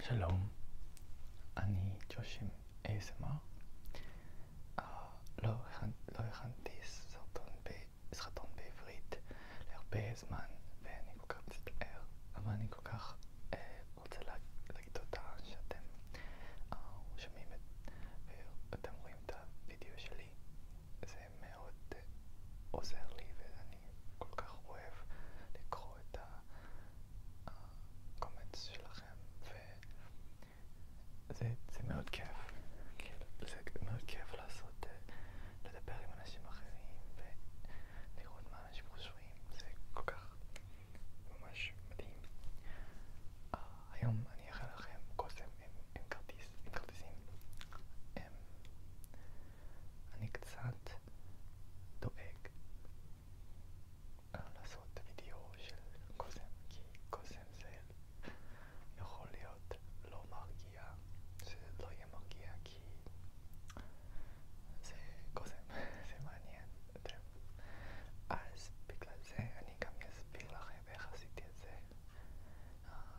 שלום, אני ג'ושים ASMR. Uh, אה, לא, הכנ... לא הכנתי סרטון, ב... סרטון בעברית להרבה זמן ואני כל כך מצטער, אבל אני כל כך uh, רוצה לה... להגיד תודה שאתם uh, שומעים את... ואתם רואים את הוידאו שלי. זה מאוד uh, עוזר לי ואני שאני כל כך אוהב לקרוא את הקומץ שלכם, וזה זה מאוד כיף, כאילו, זה מאוד כיף לעשות, אה, לדבר עם אנשים אחרים ולראות מה אנשים חושבים, זה כל כך ממש מדהים. Uh, היום אני אראה לכם קוסם עם, עם כרטיס, עם כרטיסים. Um, אני קצת דואג אה, לעשות וידאו של קוזם, כי קוזם זה יכול להיות לא מרגיע, זה לא יהיה מרגיע כי זה קוזם, זה מעניין, אתם. אז בגלל זה אני גם אסביר לכם איך עשיתי את זה. אה,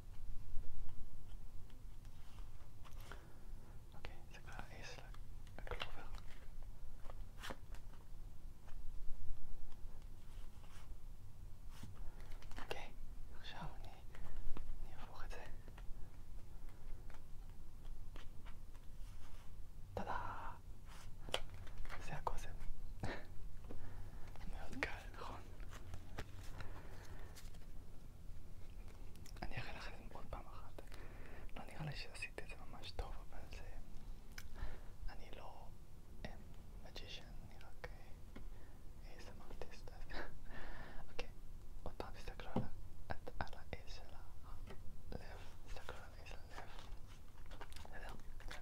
אוקיי, זה כבר אייס לקלובר. אוקיי, עכשיו אני, אני אהפוך את זה. טאדה! זה הקוסם. מאוד קל. נכון. אני אראה לך את זה עוד פעם אחת. לא נראה לי שעשיתי את זה ממש טוב, אבל זה... אני לא מג'ישן, אה, אני רק איזם אה, ארטיסט. אה, אוקיי, עוד פעם תסתכלו על האיז של הלב, תסתכלו על האיז של הלב. בסדר? כן.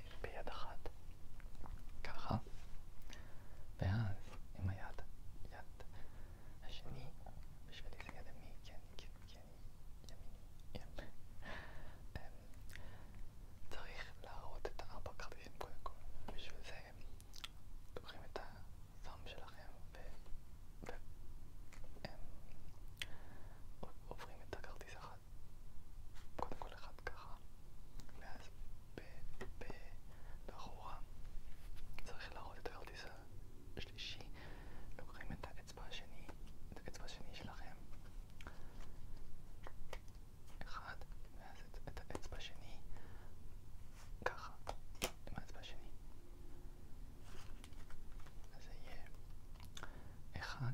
ביד אחת, ככה, ואז עם היד, יד השני, בשבילי זה יד ימי, כי כן, אני, כי כן, אני, כן, ימיני, צריך להראות את הארבע כרטיסים קודם כל, בשביל זה לוקחים את הזם שלכם ועוברים את הכרטיס אחד קודם כל אחד ככה, ואז ב... ב... באחורה צריך להראות את הכרטיס השלישי, לוקחים את האצבע השני, את האצבע השני שלכם, אחד, ואז את, את האצבע השני, ככה, עם האצבע השני. אז זה יהיה אחד,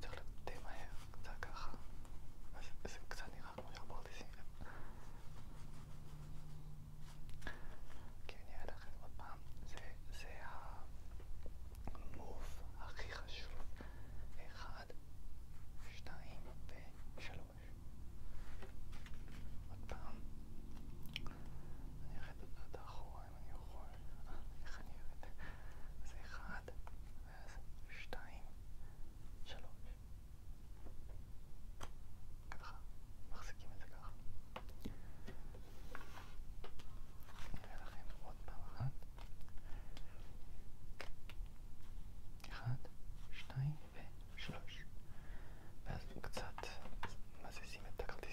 צריך די מהר, קצת ככה. אז זה קצת נראה כמו שברתי כי כן, אני אראה לכם עוד פעם, זה, זה המוב הכי חשוב. אחד, שתיים ושלוש. עוד פעם. אני ארד עד האחרון. אם אני יכול, איך אני אוהב את זה, זה אחד, ואז שתיים, שלוש. ככה, מחזיקים את זה ככה. נראה לכם עוד פעם אחת. אחד, שתיים ושלוש. ואז קצת מזיזים את הכרטיס.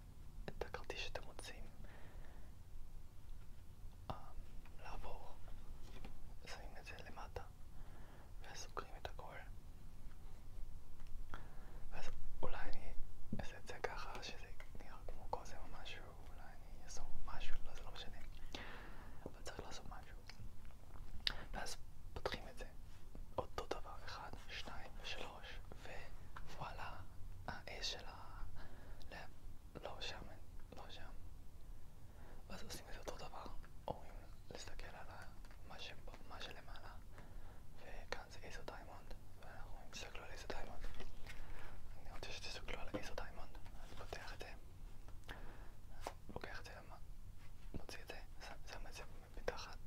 את הכרטיס שאתם רוצים um, אמ, לעבור, שמים את זה למטה וסוגרים את הכל ואז אולי אני אעשה את זה ככה שזה נראה כמו קוזם או משהו, אולי אני אעשה משהו, לא זה לא משנה אבל צריך לעשות משהו ואז פותחים את זה, אותו דבר, אחד, שניים, שלוש שלוש, ווואלה, האש של ה... לא שם, לא שם. ואז עושים את אותו דבר, אומרים להסתכל על מה, ש... מה שלמעלה, וכאן זה איזו דיימונד, ואנחנו מסתכלו על איזו דיימונד. אני רוצה שתסתכלו על איזו דיימונד, אז פותח את זה, לוקח את זה, מוציא את זה, שם את זה מתחת,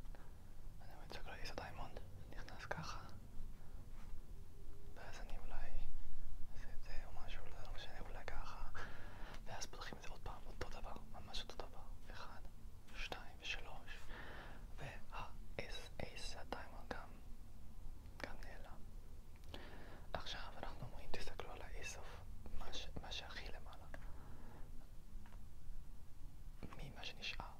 אני מצג ליסוד האמון, נכנס ככה ואז אני אולי עושה את זה או משהו, לא משנה, אולי ככה ואז פותחים את זה עוד פעם, אותו דבר, ממש אותו דבר אחד, שתיים ושלוש וה-S-S הטיימר גם גם נעלם עכשיו אנחנו אומרים, תסתכלו על האיסוף מה שהכי למעלה ממה שנשאר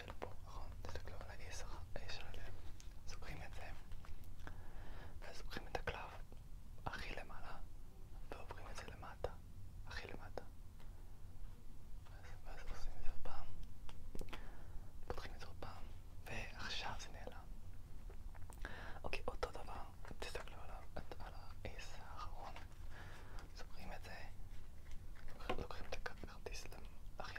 של פה, נכון? תסתכלו על ה-A של הלב, זוכרים את זה, ואז לוקחים את הקלף הכי למעלה ועוברים את זה למטה, הכי למטה. ואז עושים את זה עוד פעם, פותחים את זה עוד פעם, ועכשיו זה נעלם. אוקיי, אותו דבר, תסתכלו עליו, על האס האחרון, זוכרים את זה, לוקחים את הכרטיס הכי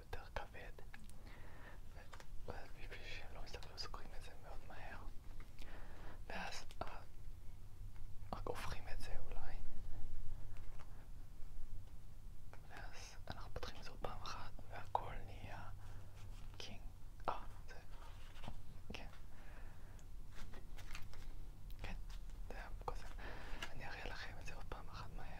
יותר כבד ואז בשביל שהם לא מסתכלים סוגרים את זה מאוד מהר ואז אה, רק הופכים את זה אולי ואז אנחנו פותחים את זה עוד פעם אחת והכל נהיה קינג אה, זה... כן כן, זה היה קוסם אני אראה לכם את זה עוד פעם אחת מהר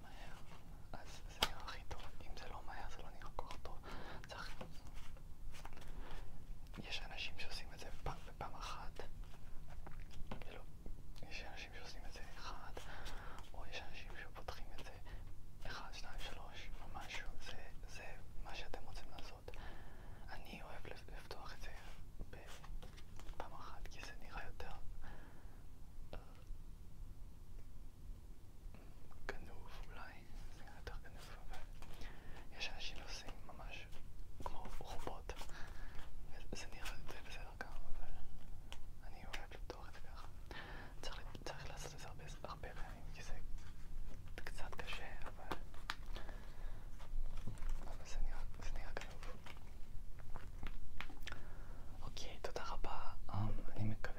מהר, אז זה נראה הכי טוב. אם זה לא מהר, זה לא נראה כל כך טוב. צריך... יש אנשים שעושים את זה פעם ופעם אחת. כאילו, יש אנשים שעושים את זה אחד, או יש אנשים שפותחים את זה אחד, שניים, שלוש, או משהו. זה, זה מה שאתם רוצים לעשות. אני אוהב לפתוח את זה בפעם אחת, כי זה נראה יותר... גנוב אולי, זה היה יותר גנוב, אבל יש אנשים עושים ממש כמו רובוט, וזה נראה די בסדר גם, אבל אני אוהב לפתוח את זה ככה. צריך, צריך לעשות את זה הרבה, הרבה פעמים, כי זה קצת קשה, אבל, אבל זה, נראה, זה נראה גנוב. אוקיי, תודה רבה. Um, אני מקווה